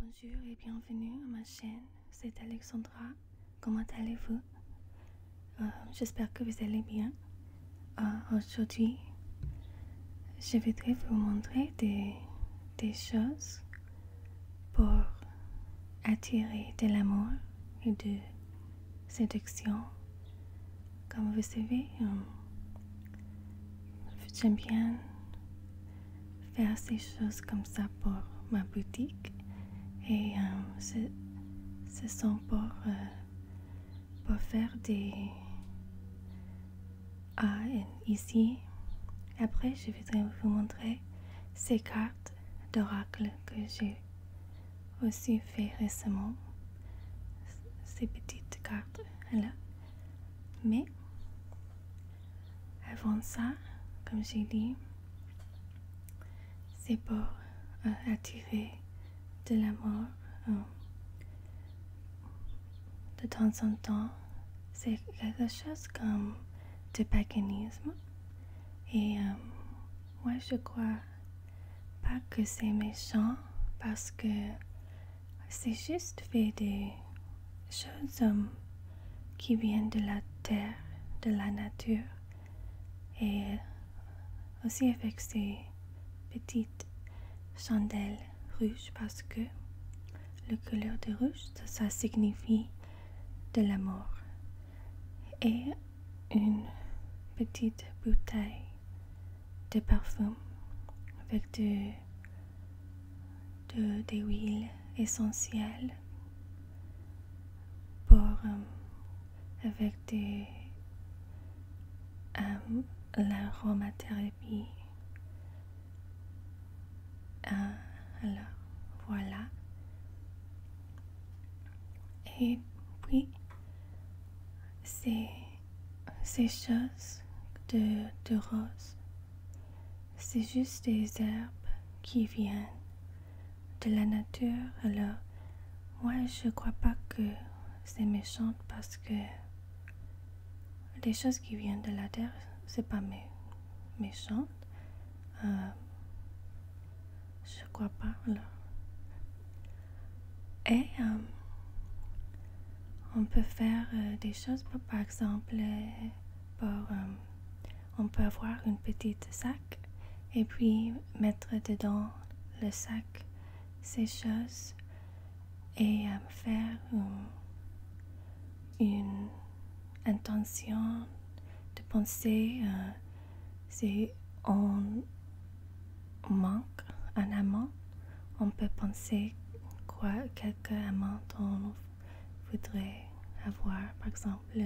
Bonjour et bienvenue à ma chaîne, c'est Alexandra. Comment allez-vous euh, J'espère que vous allez bien. Euh, aujourd'hui, je voudrais vous montrer des, choses pour attirer de l'amour et de séduction. Comme vous savez, euh, j'aime bien faire ces choses comme ça pour ma boutique et euh, ce, sont pour, euh, pour faire des ici. Après, je voudrais vous montrer ces cartes d'oracle que j'ai aussi fait récemment. Ces petites cartes là. Mais avant ça, comme j'ai dit, c'est pour euh, attirer de la mort euh, de temps en temps. C'est quelque chose comme du paganisme. Et moi, euh, je crois pas que c'est méchant parce que c'est juste fait des choses qui viennent de la terre, de la nature, et aussi avec ces petites chandelles rouges parce que le couleur de rouge, ça, signifie de la mort Et une petite bouteille de parfum avec des de, des huiles essentielles pour, euh, avec des, euh, l'aromathérapie. alors, euh, voilà. Et puis, ces, ces choses de, de rose c'est juste des herbes qui viennent de la nature. Alors, moi, je crois pas que c'est méchant parce que les choses qui viennent de la terre, c'est pas méchant. Euh, je crois pas. Alors. Et euh, on peut faire euh, des choses, par exemple, euh, on peut avoir une petite sac et puis mettre dedans le sac ces choses et euh, faire une, intention de penser euh, si on manque un amant, on peut penser quoi quelques amants dans voudrais avoir, par exemple,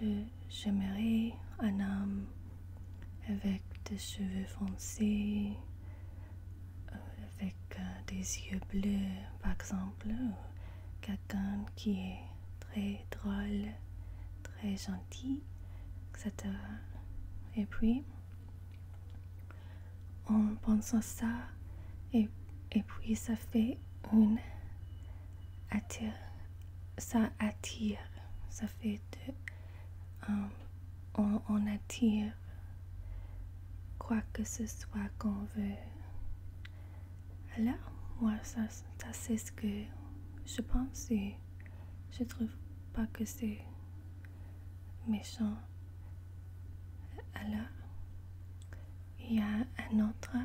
je j'aimerais un homme avec des cheveux foncés, euh, avec euh, des yeux bleus, par exemple, quelqu'un qui est très drôle, très gentil, etc. Et puis, en pensant ça. Et, puis ça fait une attire. Ça attire. Ça fait de. Euh, on, attire quoi que ce soit qu'on veut. Alors, moi, ça, ça c'est ce que je pense et je trouve pas que c'est méchant alors il y a un autre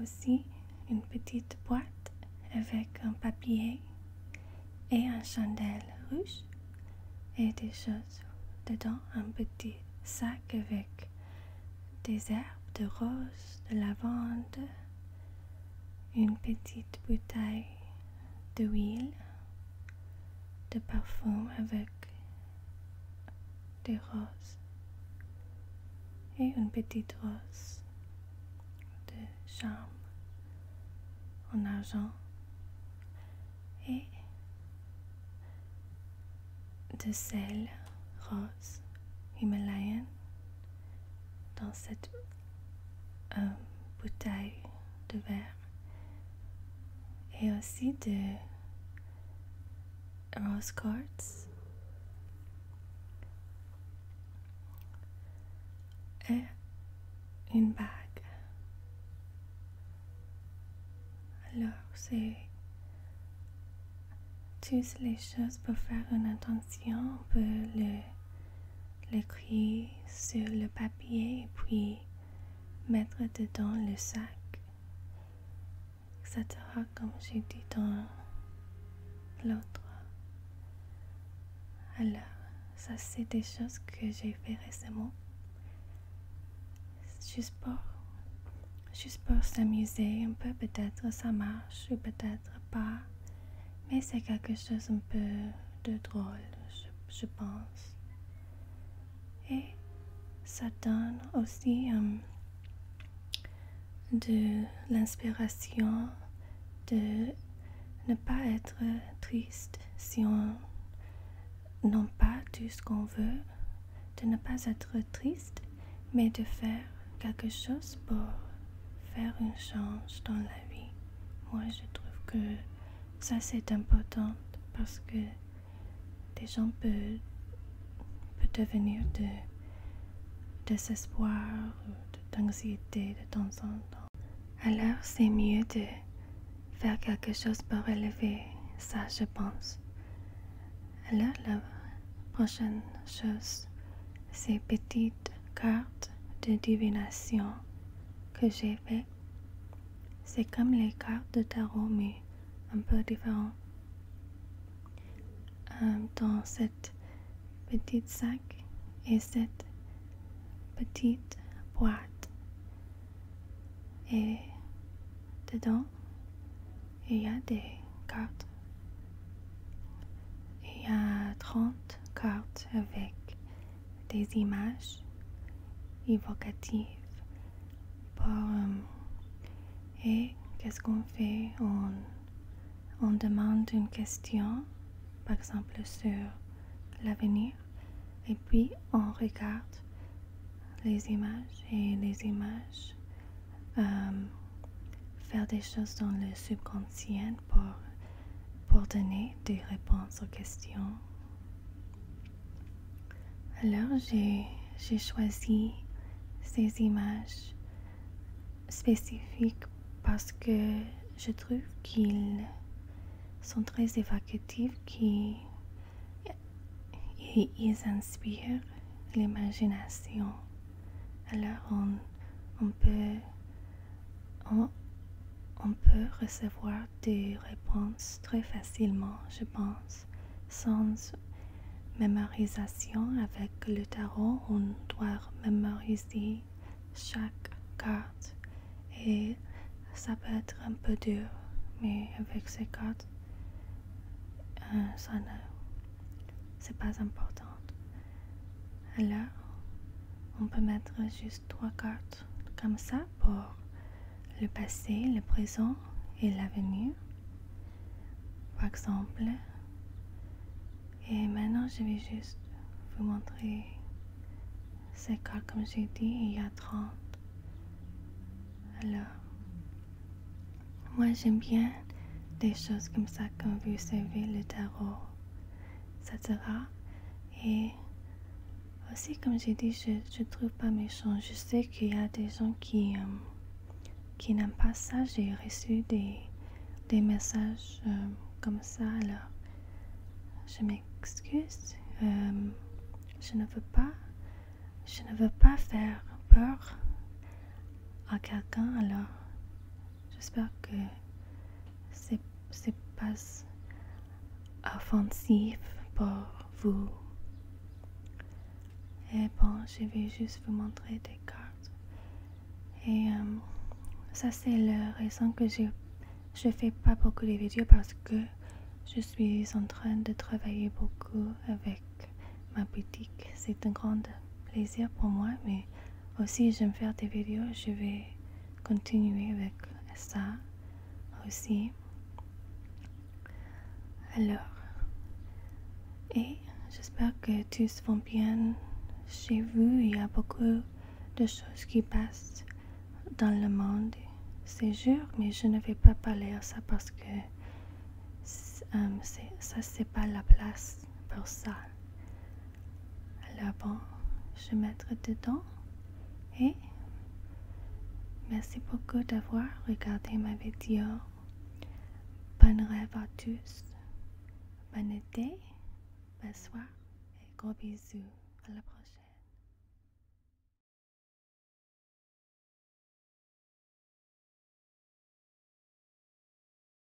aussi une petite boîte avec un papier et un chandelle rouge et des choses dedans, un petit sac avec des herbes de rose, de lavande, une petite bouteille d'huile de parfum avec des roses et une petite rose de charme en argent et de sel rose himalayen dans cette une euh, bouteille de verre et aussi de rose quartz et une bague. Alors, c'est toutes les choses pour faire une attention on le l'écrire sur le papier puis mettre dedans le sac, etc. comme j'ai dit dans l'autre. Alors, ça c'est des choses que j'ai fait récemment. pour, juste pour s'amuser un peu, peut-être ça marche ou peut-être pas. Mais c'est quelque chose un peu de drôle, je, pense. Et ça donne aussi euh, de l'inspiration de ne pas être triste si on n'a pas tout ce qu'on veut, de ne pas être triste, mais de faire quelque chose pour faire une change dans la vie. Moi, je trouve que ça, c'est important parce que des gens peuvent, peuvent devenir de désespoir ou d'anxiété de temps en temps. Alors, c'est mieux de faire quelque chose pour relever ça, je pense. Alors, la prochaine chose, c'est petit carte de divination que j'ai fait, C'est comme les cartes de tarot, mais un peu différent. Euh, dans cette petite sac et cette petite boîte. Et dedans, il y a des cartes il y a 30 cartes avec des images évocatives. Euh, et qu'est-ce qu'on fait on, demande une question, par exemple sur l'avenir, et puis on regarde les images et les images euh, faire des choses dans le subconscient pour, donner des réponses aux questions. Alors j'ai choisi ces images spécifiques parce que je trouve qu'ils sont très évocatifs, qui ils inspirent l'imagination. Alors on, peut, on, peut recevoir des réponses très facilement, je pense, sans mémorisation avec le tarot. On doit mémoriser chaque carte et ça peut être un peu dur, mais avec ces cartes, euh, ça ne c'est pas important. Alors, on peut mettre juste trois cartes comme ça pour le passé, le présent et l'avenir. Par exemple, et maintenant je vais juste vous montrer ces cartes comme j'ai dit, il y a 30. Alors, moi j'aime bien des choses comme ça, quand vous savez, le tarot. Et aussi, comme j'ai dit, je ne trouve pas méchant. Je sais qu'il y a des gens qui, euh, qui n'aiment pas ça. J'ai reçu des, messages euh, comme ça. Alors, je m'excuse. Euh, je ne veux pas. Je ne veux pas faire peur à quelqu'un. Alors, J'espère que c'est pas offensif pour vous. Et bon, je vais juste vous montrer des cartes. Et euh, ça, c'est la raison que je ne fais pas beaucoup de vidéos parce que je suis en train de travailler beaucoup avec ma boutique. C'est un grand plaisir pour moi, mais aussi, oh, j'aime faire des vidéos. Je vais continuer avec ça aussi. Oh, Alors, et j'espère que tous vont bien chez vous. Il y a beaucoup de choses qui passent dans le monde c'est jours, mais je ne vais pas parler à ça parce que euh, ça, c'est pas la place pour ça. Alors bon, je mettre dedans et merci beaucoup d'avoir regardé ma vidéo. Bonne rêve à tous, Bonne été, Bonsoir. et gros bisous. À la prochaine.